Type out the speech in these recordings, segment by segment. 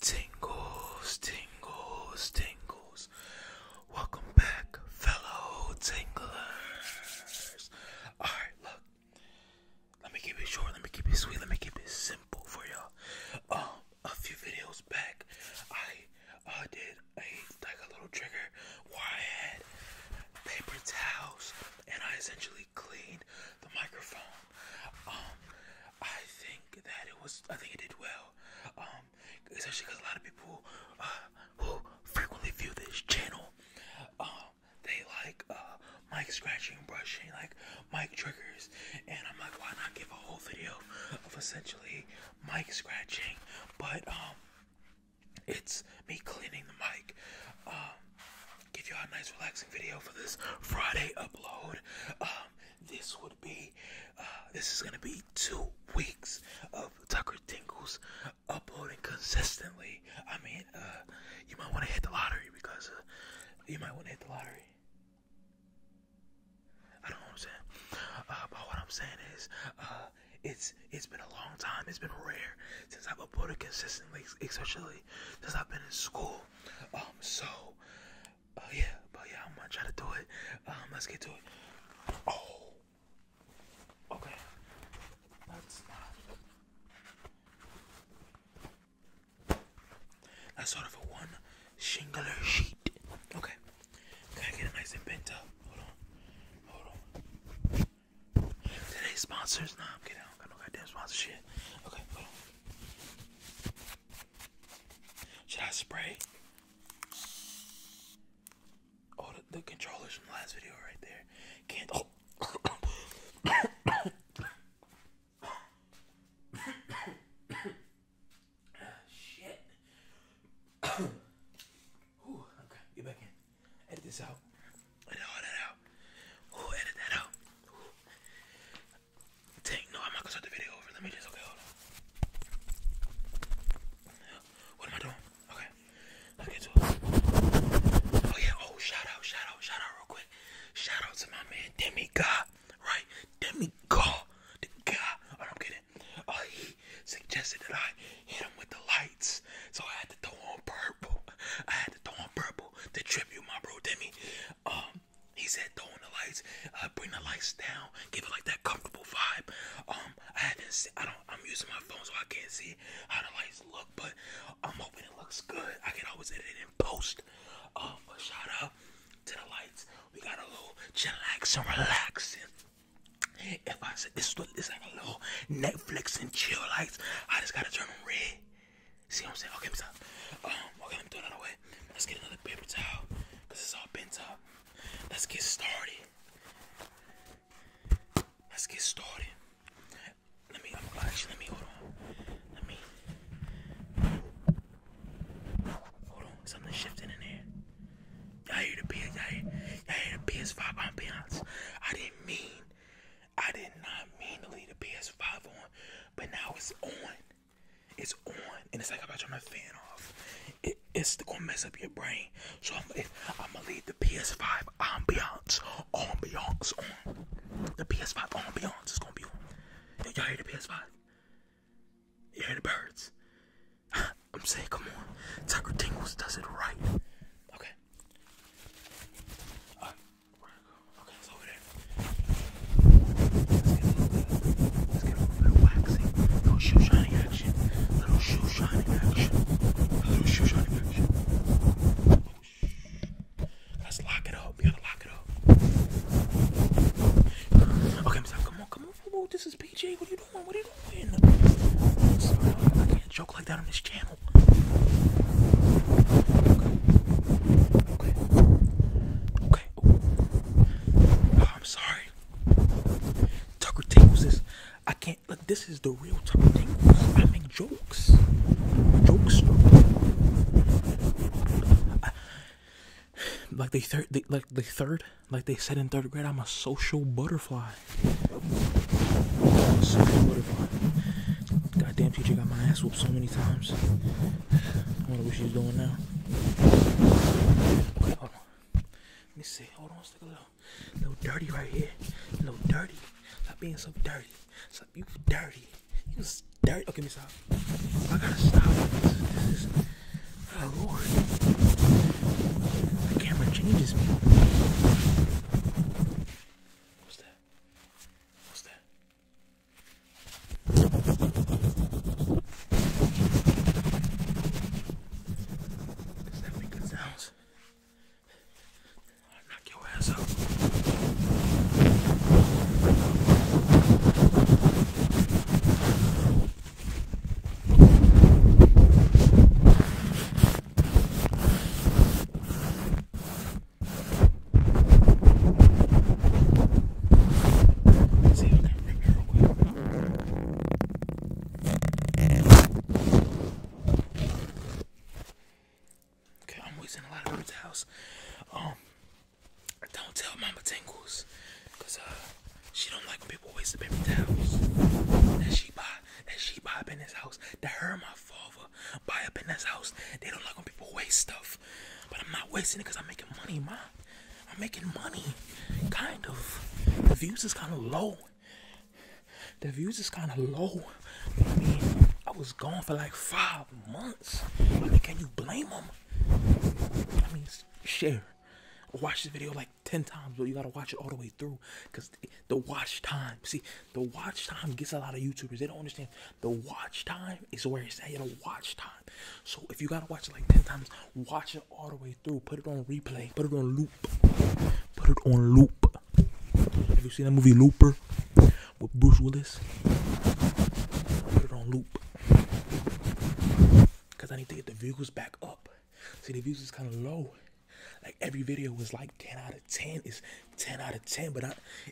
Tingles, tingles, tingles. Welcome back, fellow tinglers. Alright, look. Let me keep it short, let me keep it sweet, let me keep it simple for y'all. Um, a few videos back, I uh, did a like a little trigger where I had paper towels and I essentially cleaned the microphone um, I think that it was. I think it did well. Um, especially because a lot of people uh, who frequently view this channel, um, they like uh mic scratching, brushing, like mic triggers, and I'm like, why not give a whole video of essentially mic scratching, but um, it's me cleaning the mic. Um, give y'all a nice relaxing video for this Friday upload. Um, this would be uh, this is gonna be two weeks of Tucker Tingles uploading consistently. I mean, uh, you might want to hit the lottery because uh, you might want to hit the lottery. I don't know what I'm saying, but what I'm saying is, it's it's been a long time. It's been rare since I've uploaded consistently, especially since I've been in school. Um, so Oh yeah, but oh, yeah, I'm gonna try to do it. Um, let's get to it. Oh, okay. Let's not. That's sort a one shingle sheet. Okay. Can I get it nice and bent up? Hold on. Hold on. Today's sponsors? Nah, I'm kidding. I don't got no goddamn sponsor shit. Okay, hold on. Should I spray? Oh, the, controllers from the last video right there. Can't. Oh. Shit. Ooh, okay, get back in. Edit this out. Edit all that out. Ooh, edit that out no, I'm not gonna start the video over. Let me just, okay, hold on. What am I doing? Okay, let get it. Oh, yeah, oh, shout out, shout out, shout out real quick. Shout out to my man, Demi God, right? Demi God, Demi God, oh, I'm kidding. Uh, he suggested that I hit him with the lights, so I had to throw on purple. I had to throw on purple to tribute my bro, Demi. Um, he said throwing the lights, uh, bring the lights down, give it like that comfortable vibe. Um, I haven't seen, I don't, I'm using my phone so I can't see how the lights look, but I'm hoping it looks good. I can always edit it in post. Um, shout out to the lights. We got a little chillax and relaxing. If I said this, it's like a little Netflix and chill lights. I just gotta turn them red. See what I'm saying? Okay, what's up? Um, okay, I'm throwing it away. Let's get another paper towel because it's all bent up. Let's get started. Let's get started. Let me, I'm, actually, let me, hold on. Let me, hold on. Something shifting in here. I hear the PS, y'all hear, hear, the PS5 ambiance. I didn't mean, I did not mean to leave the PS5 on, but now it's on. It's on, and it's like I'm about to turn my fan off. it's gonna mess up your brain. So I'm, gonna leave the PS5 ambiance, ambiance on. The PS5 ambiance is gonna be on. Y'all hear the PS5? You hear the birds? I'm saying, come on. Tucker Tingles does it right. Okay. Okay, Let's get a little let's get a little waxing. Little shoe shining action. Little shoe shining action. Little shoe shining action. let's lock it up. You gotta lock it up. Okay, Miss come on, come on. Whoa, this is PJ. What are you doing? What are you doing? i can't joke like that on this channel. Okay. Okay. Oh, I'm sorry. Tucker Tingles is. I can't. Look, this is the real Tucker Tingles. I make jokes. Jokes. like they third, like the third, like they said in third grade, I'm a social butterfly. I'm social butterfly. Goddamn teacher got my ass whooped so many times. I wonder what she's doing now. Let me see. Hold on, stick a little, little dirty right here. A little dirty. Stop being so dirty. Stop, you dirty. You dirty. Okay, miss out. I gotta stop. This, is, oh Lord. The camera changes me. What's that? What's that? Does that make good sounds? I'll knock your ass out. I Okay, I'm wasting a lot of words house. Um, don't tell Mama Tingles, cause uh, she don't like when people waste the paper towels that she buy. That she buy up in this house. That her and my father buy up in this house. They don't like when people waste stuff. But I'm not wasting it because I'm making money, ma. I'm making money. Kind of. The views is kind of low. The views is kind of low. I mean, I was gone for like five months. I mean, can you blame them? I mean, share. Watch this video like 10 times, but you gotta watch it all the way through because the watch time, see, the watch time gets a lot of YouTubers. They don't understand the watch time is where it's at. You know, watch time. So if you gotta watch it like ten times, watch it all the way through. Put it on replay. Put it on loop. Put it on loop. Have you seen that movie Looper with Bruce Willis? Put it on loop. Cause I need to get the views back up. See, the views is kind of low. Like every video was like 10 out of 10 is 10 out of 10, but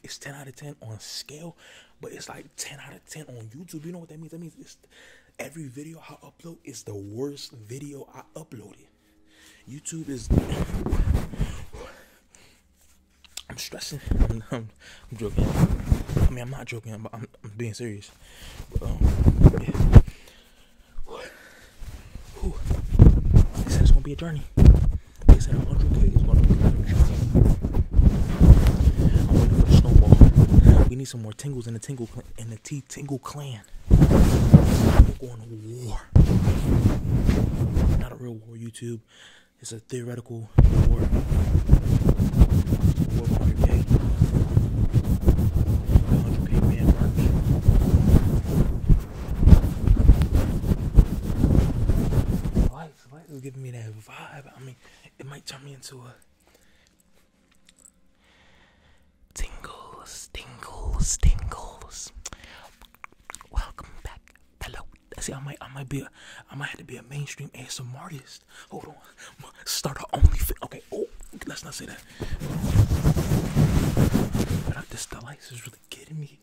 it's 10 out of 10 on scale, but it's like 10 out of 10 on YouTube. You know what that means? That means every video I upload is the worst video I uploaded. YouTube is. I'm stressing. I'm, joking. I mean, I'm not joking, but I'm, being serious. Um, this is gonna be a journey. They said 100k is one of the future. snowball. We need some more tingles in the tingle clan, the T tingle clan. We're going to war. Not a real war, YouTube. It's a theoretical war life. Life is giving me that vibe. I mean, it might turn me into a tingles, tingles, tingles. Welcome back, hello. See, I might, I might be, a, I might have to be a mainstream ASMR artist. Hold on, start our only. Okay, oh, let's not say that. this, the is really getting me.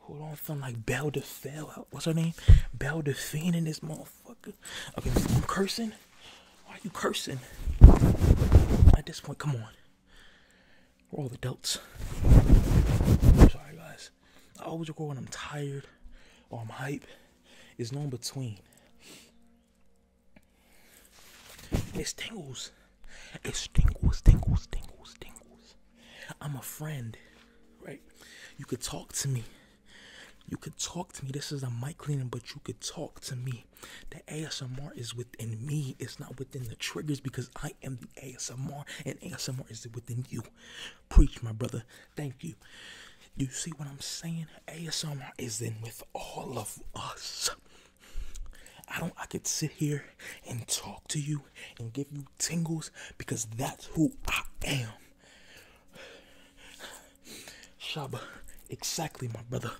Hold on, feeling like Belle de Fell. Uh, what's her name? Belle de Fiend in this motherfucker. Okay, I'm cursing. Why are you cursing? At this point, come on. We're all adults. I'm sorry, guys. I always record when I'm tired or I'm hype. It's no in between. It tingles. It tingles, tingles, tingles, tingles. I'm a friend, right? You could talk to me. You could talk to me. This is a mic cleaning, but you could talk to me. The ASMR is within me. It's not within the triggers because I am the ASMR and ASMR is within you. Preach, my brother. Thank you. You see what I'm saying? ASMR is in with all of us. I don't I could sit here and talk to you and give you tingles because that's who I am. Shaba, exactly, my brother.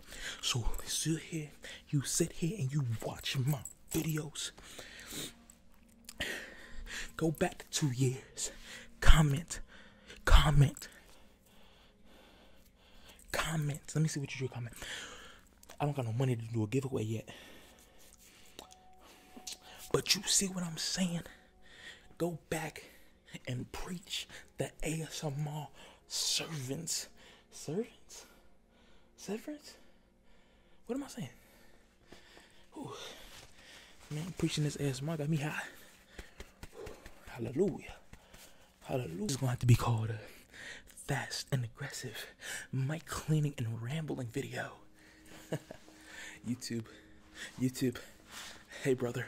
So sit here, you sit here and you watch my videos. Go back two years. Comment, comment, comment. Let me see what you do. Comment. I don't got no money to do a giveaway yet. But you see what I'm saying? Go back and preach the ASMR servants. Servants? servants. What am I saying? Man, preaching this ASMR got me high. Ooh. Hallelujah. Hallelujah. It's gonna have to be called a fast and aggressive mic cleaning and rambling video. YouTube, YouTube. Hey, brother.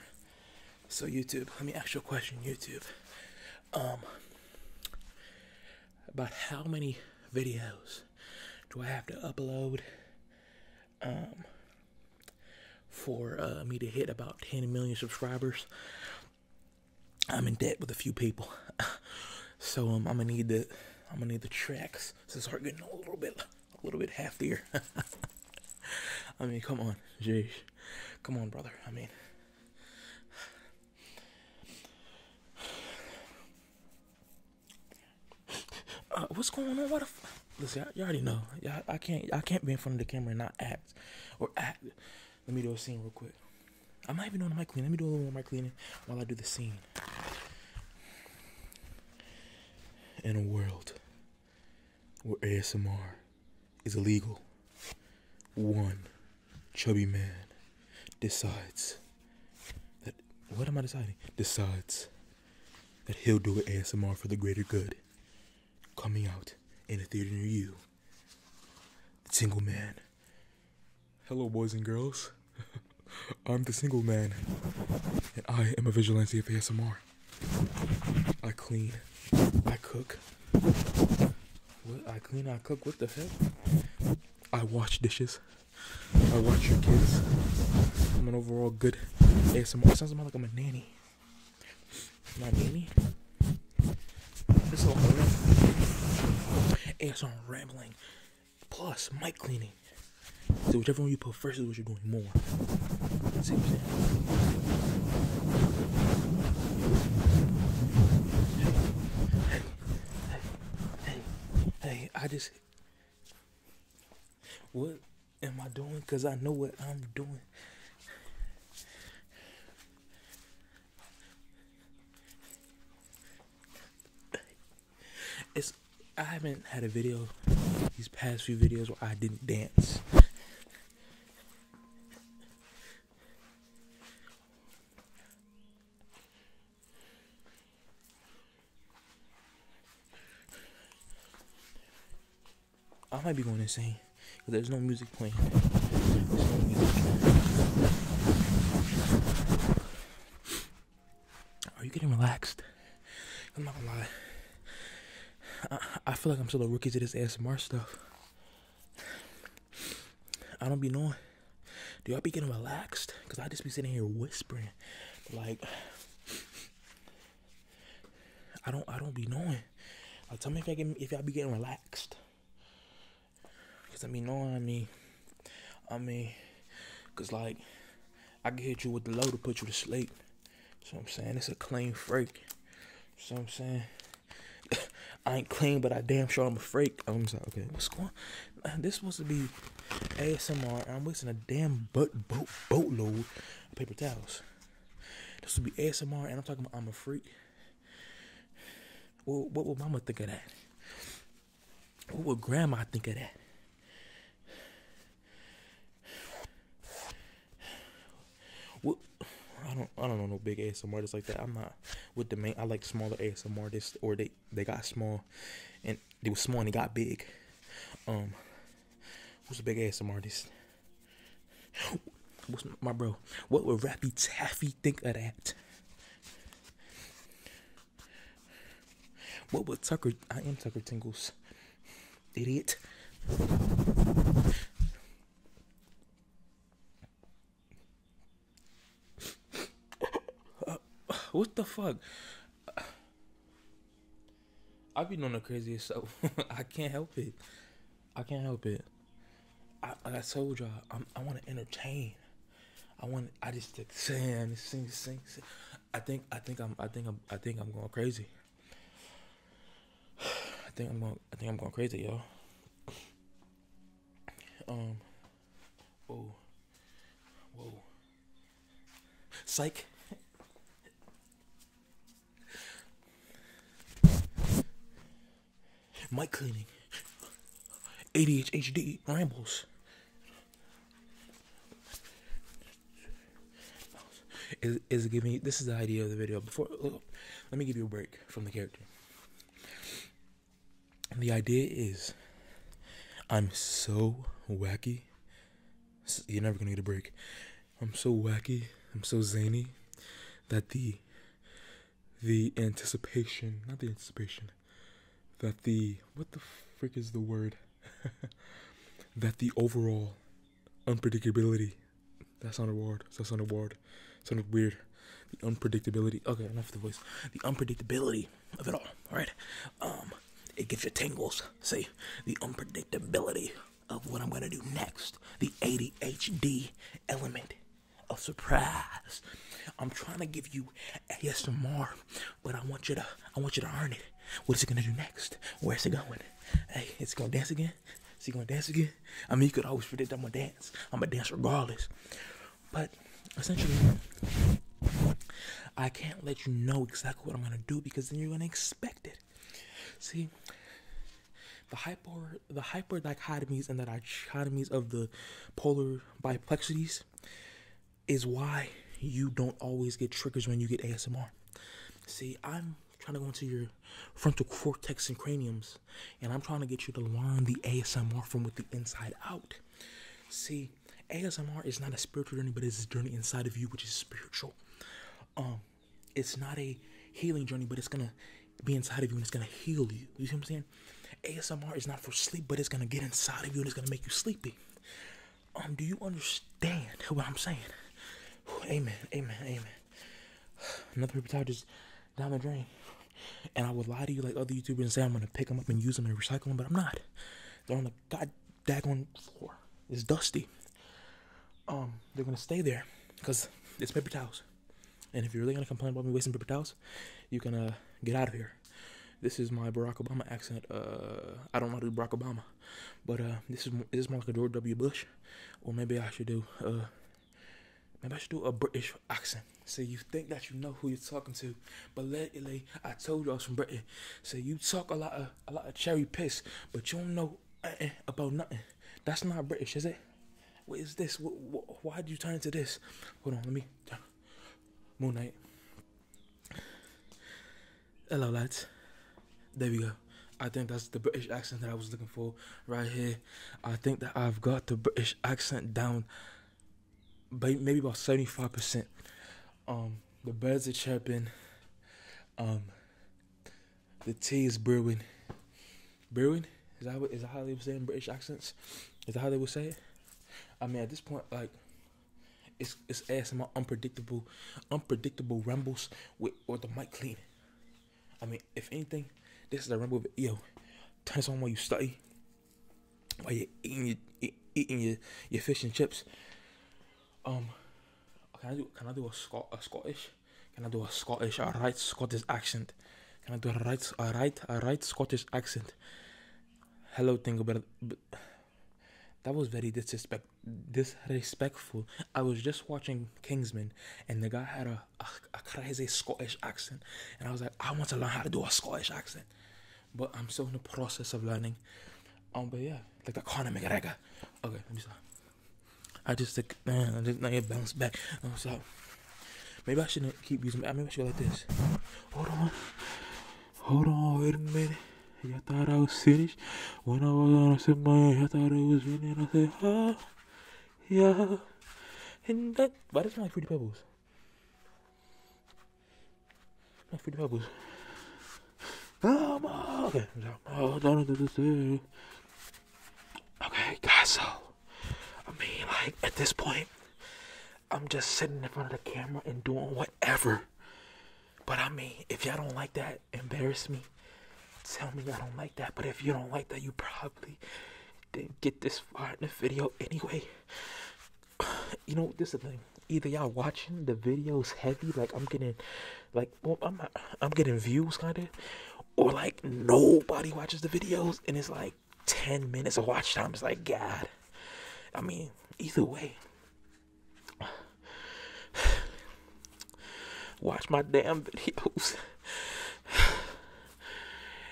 So, YouTube, let me ask you a question, YouTube. Um, about how many videos do I have to upload? Um, for uh, me to hit about 10 million subscribers. I'm in debt with a few people, so um, I'm gonna need the I'm gonna need the tracks this. is start getting a little bit, a little bit heftier. I mean, come on, jeez, come on, brother. I mean, uh, what's going on? What the? F- Listen, you all already know. you I can't, I can't be in front of the camera and not act or act. Let me do a scene real quick. I might even on my cleaning. Let me do a little mic cleaning while I do the scene in a world where ASMR is illegal, one chubby man decides that what am I deciding? Decides that he'll do an ASMR for the greater good, coming out in a theater near you. The single man Hello, boys and girls. I'm the single man, and I am a vigilante of ASMR. I clean, I cook. I clean, I cook. What the heck? I wash dishes. I watch your kids. I'm an overall good ASMR. It sounds more like I'm a nanny. My nanny. This is all rambling. ASMR rambling plus mic cleaning. So whichever one you put first is what you're doing more. See what i Hey, hey, hey, hey, I just what am I doing? Cause I know what I'm doing. It's I haven't had a video these past few videos where I didn't dance. I might be going insane because there's no music playing. Are you getting relaxed? I'm not gonna lie. I, feel like I'm still a rookie to this ASMR stuff. I don't be knowing. Do y'all be getting relaxed? Cause I just be sitting here whispering, like I don't I don't be knowing. Like, tell me if I get if y'all be getting relaxed. Cause I mean, knowing I mean. I mean, cause like I can hit you with the load to put you to sleep. So I'm saying it's a clean freak. So I'm saying I ain't clean, but I damn sure I'm a freak. Oh, I'm like, okay, what's going? On? This supposed to be ASMR, and I'm wasting a damn boat boat load of paper towels. This would be ASMR, and I'm talking about I'm a freak. what would Mama think of that? What would grandma think of that? What I don't I don't know no big ASMR artists like that. I'm not with the main I like smaller ASMR artists or they they got small and they were small and they got big. Um who's a big ASMR artist? What's my bro? What would Rappy Taffy think of that? What would Tucker? I am Tucker Tingles, idiot. what the fuck? I've been on the craziest So I can't help it. I can't help it. I, told y'all, I want to entertain. I want. I just to sing, sing, sing, sing. I think. I think I'm. I think I'm. I think I'm going crazy. I think I'm going. I think I'm going crazy, y'all. Um. Whoa. Whoa. Psych. Mic cleaning. ADHD rambles. Is is giving you, this is the idea of the video. Before let me give you a break from the character. The idea is I'm so wacky. You're never gonna need a break. I'm so wacky, I'm so zany that the the anticipation not the anticipation that the what the frick is the word that the overall unpredictability that's not a word that's not a word it sounded weird the unpredictability okay enough of the voice the unpredictability of it all all right um, it gives you tingles see the unpredictability of what i'm gonna do next the adhd element of surprise i'm trying to give you asmr but I want you to I want you to earn it. What is it gonna do next? Where's it going? Hey, it's gonna dance again. Is he gonna dance again? I mean, you could always predict I'm gonna dance. I'm gonna dance regardless. But essentially, I can't let you know exactly what I'm gonna do because then you're gonna expect it. See, the hyper the hyper dichotomies and the dichotomies of the polar biplexities is why you don't always get triggers when you get ASMR. See, I'm trying to go into your frontal cortex and craniums, and I'm trying to get you to learn the ASMR from with the inside out. See, ASMR is not a spiritual journey, but it's a journey inside of you, which is spiritual. Um, it's not a healing journey, but it's gonna be inside of you and it's gonna heal you. You see what I'm saying? ASMR is not for sleep, but it's gonna get inside of you and it's gonna make you sleepy. Um, do you understand what I'm saying? amen, amen, amen. Another paper towel just down the drain. And I would lie to you like other YouTubers and say I'm gonna pick them up and use them and recycle them, but I'm not. They're on the god daggone floor. It's dusty. Um, they're gonna stay there because it's paper towels. And if you're really gonna complain about me wasting paper towels, you can uh, get out of here. This is my Barack Obama accent. Uh, I don't know how to do Barack Obama, but uh, this is this more like a George W. Bush, or maybe I should do uh, maybe I should do a British accent. So you think that you know who you're talking to, but lately I told you I was from Britain. So you talk a lot of a lot of cherry piss, but you don't know nothing about nothing. That's not British, is it? What is this? why did you turn into this? Hold on, let me. Moon Knight. Hello, lads. There we go. I think that's the British accent that I was looking for right here. I think that I've got the British accent down, but maybe about seventy-five percent. Um, the birds are chirping. Um, the tea is brewing. Brewing is that that how they were saying British accents? Is that how they would say it? I mean, at this point, like it's it's ass my unpredictable, unpredictable rumbles with with the mic clean. I mean, if anything, this is a rumble. But yo, turn this on while you study, while you eating your eating your, your fish and chips. Um, can I do can I do a Scot a Scottish? Can I do a Scottish? A right Scottish accent? Can I do a right a right a right Scottish accent? Hello, thing about that was very disrespect disrespectful. I was just watching Kingsman, and the guy had a, a, crazy Scottish accent, and I was like, I want to learn how to do a Scottish accent, but I'm still in the process of learning. Um, but yeah, like the Conor McGregor. Okay, let me stop. I just like I just now you bounce back. I'm sorry. Maybe I shouldn't keep using. I Maybe I should like this. Hold on. Hold on, wait a minute. I thought I was finished. When I was on a sip my hand, you thought it was finished. I said, oh, yeah. And that, why does not smell like Fruity Pebbles? Not Fruity Pebbles. Oh, Okay, oh, don't do this. Okay, guys, so, I mean, like, at this point, I'm just sitting in front of the camera and doing whatever. But I mean, if y'all don't like that, embarrass me. Tell me I don't like that. But if you don't like that, you probably didn't get this far in the video anyway. You know, this is the thing. Either y'all watching the videos heavy, like I'm getting, like I'm I'm getting views kind of, or like nobody watches the videos, and it's like 10 minutes of watch time. It's like, God. I mean, either way. Watch my damn videos.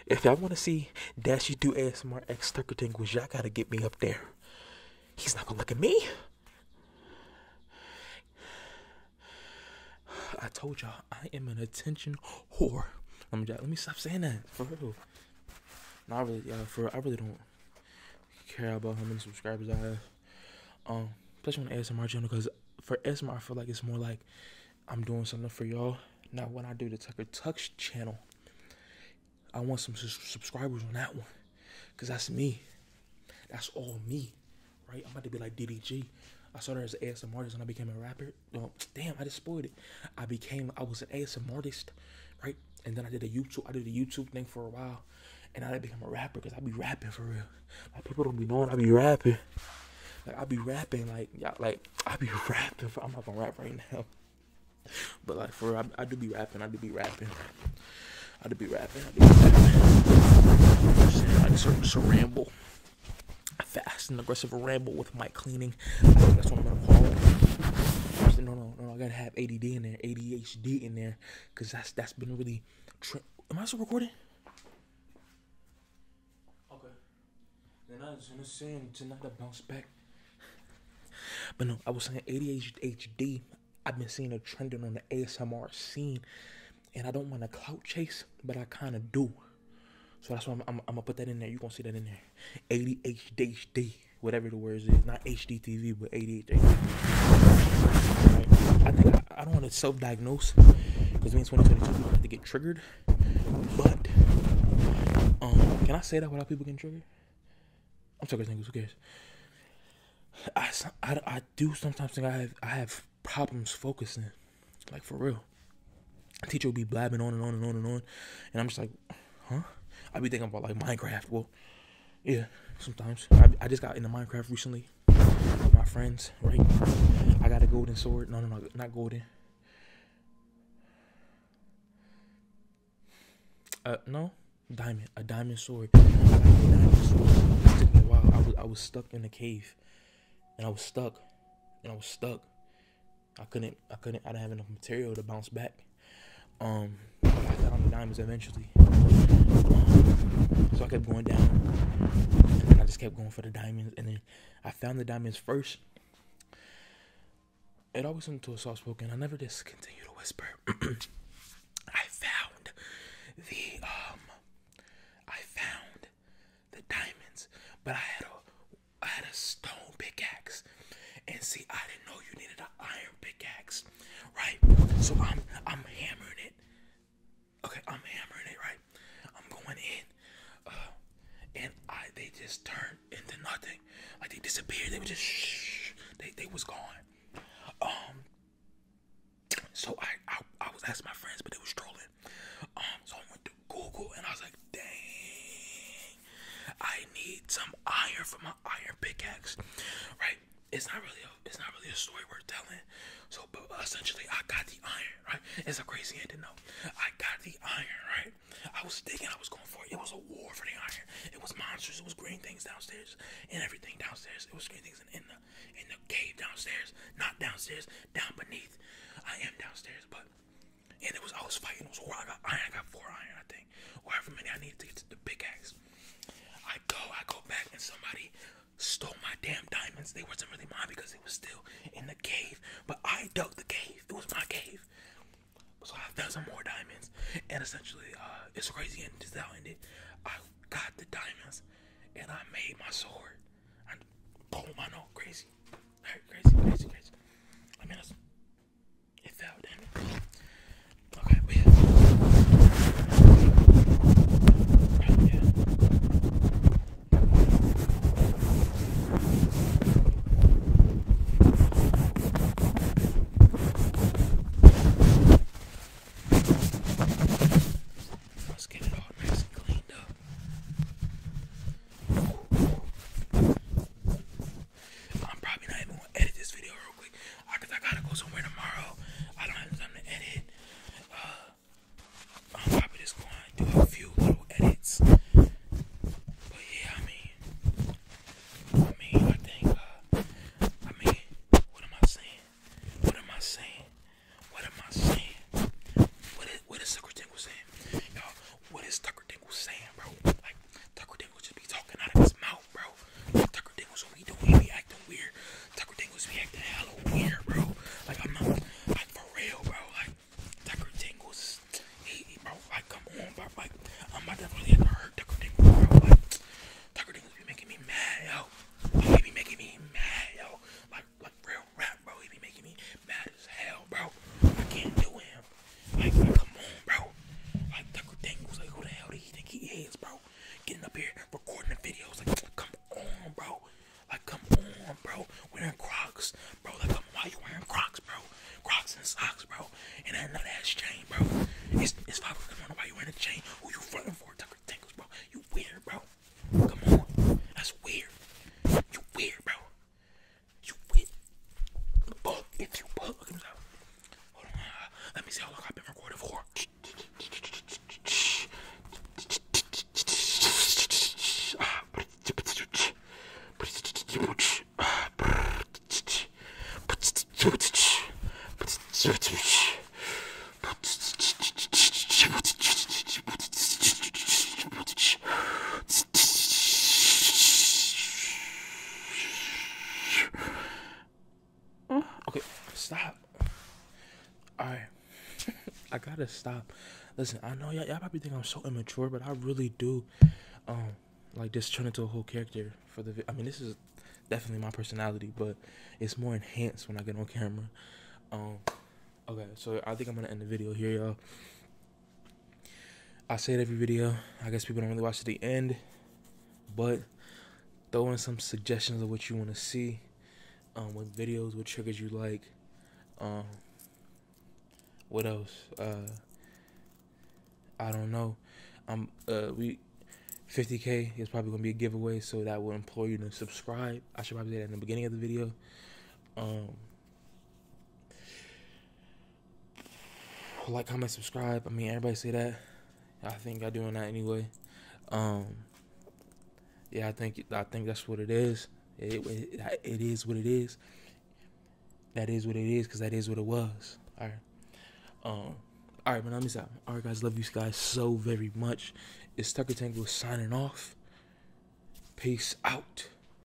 if y'all want to see Dash You Do ASMR X Tucker Tingles, y'all got to get me up there. He's not going to look at me. I told y'all I am an attention whore. Let me, let me stop saying that not really, yeah, for I really don't care about how many subscribers I have. Um, especially on the ASMR channel, because for ASMR, I feel like it's more like I'm doing something for y'all. Now, when I do the Tucker Tux channel, I want some subscribers on that one, because that's me. That's all me, right? I'm about to be like DDG. I started as an ASMR artist and I became a rapper well, damn, I just spoiled it. I became, I was an ASM artist, right? And then I did a YouTube, I did a YouTube thing for a while, and I became a rapper because I be rapping for real. Like people don't be knowing I be rapping. Like I be rapping, like yeah, like I be rapping. For, I'm not gonna rap right now, but like for real, I, I do be rapping. I do be rapping. I do be rapping. I do be rapping. I just, I just, just a ramble, fast and aggressive ramble with my cleaning. I think that's what No, no, no, I gotta have ADD in there, ADHD in there, because that's that's been really. Am I still recording? Okay. Then I was gonna say tonight I bounce back. But no, I was saying ADHD. I've been seeing a trending on the ASMR scene, and I don't want to clout chase, but I kind of do. So that's why I'm, gonna put that in there. you gonna see that in there. 80 HD whatever the words is, not HDTV, but 80 HD. I think I, don't want to self-diagnose because me in 2022 people have to get triggered. But um, can I say that without people getting triggered? I'm talking to niggas. Who cares? I, I, do sometimes think I have I have problems focusing, like for real. Teacher will be blabbing on and on and on and on, and I'm just like, huh? I be thinking about like Minecraft. Well, yeah, sometimes. I, I just got into Minecraft recently my friends, right? I got a golden sword. No, no, no, not golden. Uh, no, diamond. A diamond sword. I took me a while. I was, I was stuck in a cave. And I was stuck. And I was stuck. I couldn't I couldn't I didn't have enough material to bounce back. Um I found the diamonds eventually. Um, so I kept going down and then I just kept going for the diamonds and then I found the diamonds first. It always went to a soft spoken. I never just continued to whisper. I found the um I found the diamonds, but I had a I had a stone pickaxe. And see, I didn't know you needed an iron pickaxe, right? So I'm I'm hammering it. Okay, I'm hammering it, right? I'm going in. Uh, and I they just turned into nothing. Like they disappeared. They were just shh. They they was gone. Um so I, I I was asking my friends, but they were strolling. Um so I went Google and I was like, dang, I need some iron for my iron pickaxe, right? It's not really a, it's not really a story worth telling. So, but essentially, I got the iron, right? It's a crazy end to know. I got the iron, right? I was thinking I was going for it. It was a war for the iron. It was monsters. It was green things downstairs and everything downstairs. It was green things in the in the cave downstairs, not downstairs, down beneath. I am downstairs, but and it was I was fighting. It was horrible. I got iron. I got four iron, I think, or many I needed to get to the big axe. I go, I go back, and somebody stole my damn diamonds. They wasn't really mine because they was still in the cave. But I dug the cave. It was my cave. So I found some more diamonds, and essentially, uh, it's crazy. And this out how I ended. I got the diamonds, and I made my sword. And boom, I know, crazy, crazy, crazy, crazy. I mean, that's it fell, damn it. Okay, we have. Oh, yeah. Let's get it all nice and cleaned up. I'm probably not even gonna edit this video real quick. I, cause I gotta go somewhere tomorrow. I don't have time to edit. Uh, I'm probably just gonna do a few little edits. But yeah, I mean, I mean, I think, uh, I mean, what am I saying? What am I saying? What am I saying? What is, what is the critique was Y'all, what is Tucker Dingle saying, bro? Like, Tucker Dingle just be talking out of his mouth, bro. Like, Tucker Dingle's what we doing, he be acting weird. Tucker Dingle's be acting hella weird, bro. Like, I'm not, like, for real, bro. Like, Tucker Dingle's, he, he bro, like, come on, bro. Like, I'm about to really have to hurt Tucker Dingle, bro. Like, Tucker Dingle's be making me mad, yo. Like, he be making me mad, yo. Like, like real rap, bro. He be making me mad as hell, bro. I can't do him, like, like, come on, bro. Like, Tucker Daniels, like, who the hell do you think he is, bro? Getting up here, recording the videos, like, come on, bro. Like, come on, bro. Wearing Crocs, bro. Like, come on, why you wearing Crocs, bro? Crocs and socks, bro. And that nut ass chain, bro. It's, it's five o'clock in the morning. Why you wearing a chain? Who you fronting for, Tucker Daniels, bro? You weird, bro. Come on. That's weird. You weird, bro. You win. Bug if you bug. Hold on. Let me see how long I've been recording for. Okay, stop. All right. I gotta stop. Listen, I know y'all, probably think I'm so immature, but I really do. Um, like this turn into a whole character for the. I mean, this is definitely my personality, but it's more enhanced when I get on camera. Um, okay, so I think I'm gonna end the video here, y'all. I say it every video. I guess people don't really watch to the end, but throw in some suggestions of what you want to see, um, what videos, what triggers you like, um, what else? Uh, I don't know. I'm um, uh, we 50k is probably gonna be a giveaway, so that will implore you to subscribe. I should probably say that in the beginning of the video. Um, like, comment, subscribe. I mean, everybody say that. I think I doing that anyway. Um, yeah, I think I think that's what it is. It, it is what it is. That is what it is because that is what it was. All right. Um. All right, man. I'm just out. All right, guys. Love you guys so very much. It's Tucker Tango signing off. Peace out.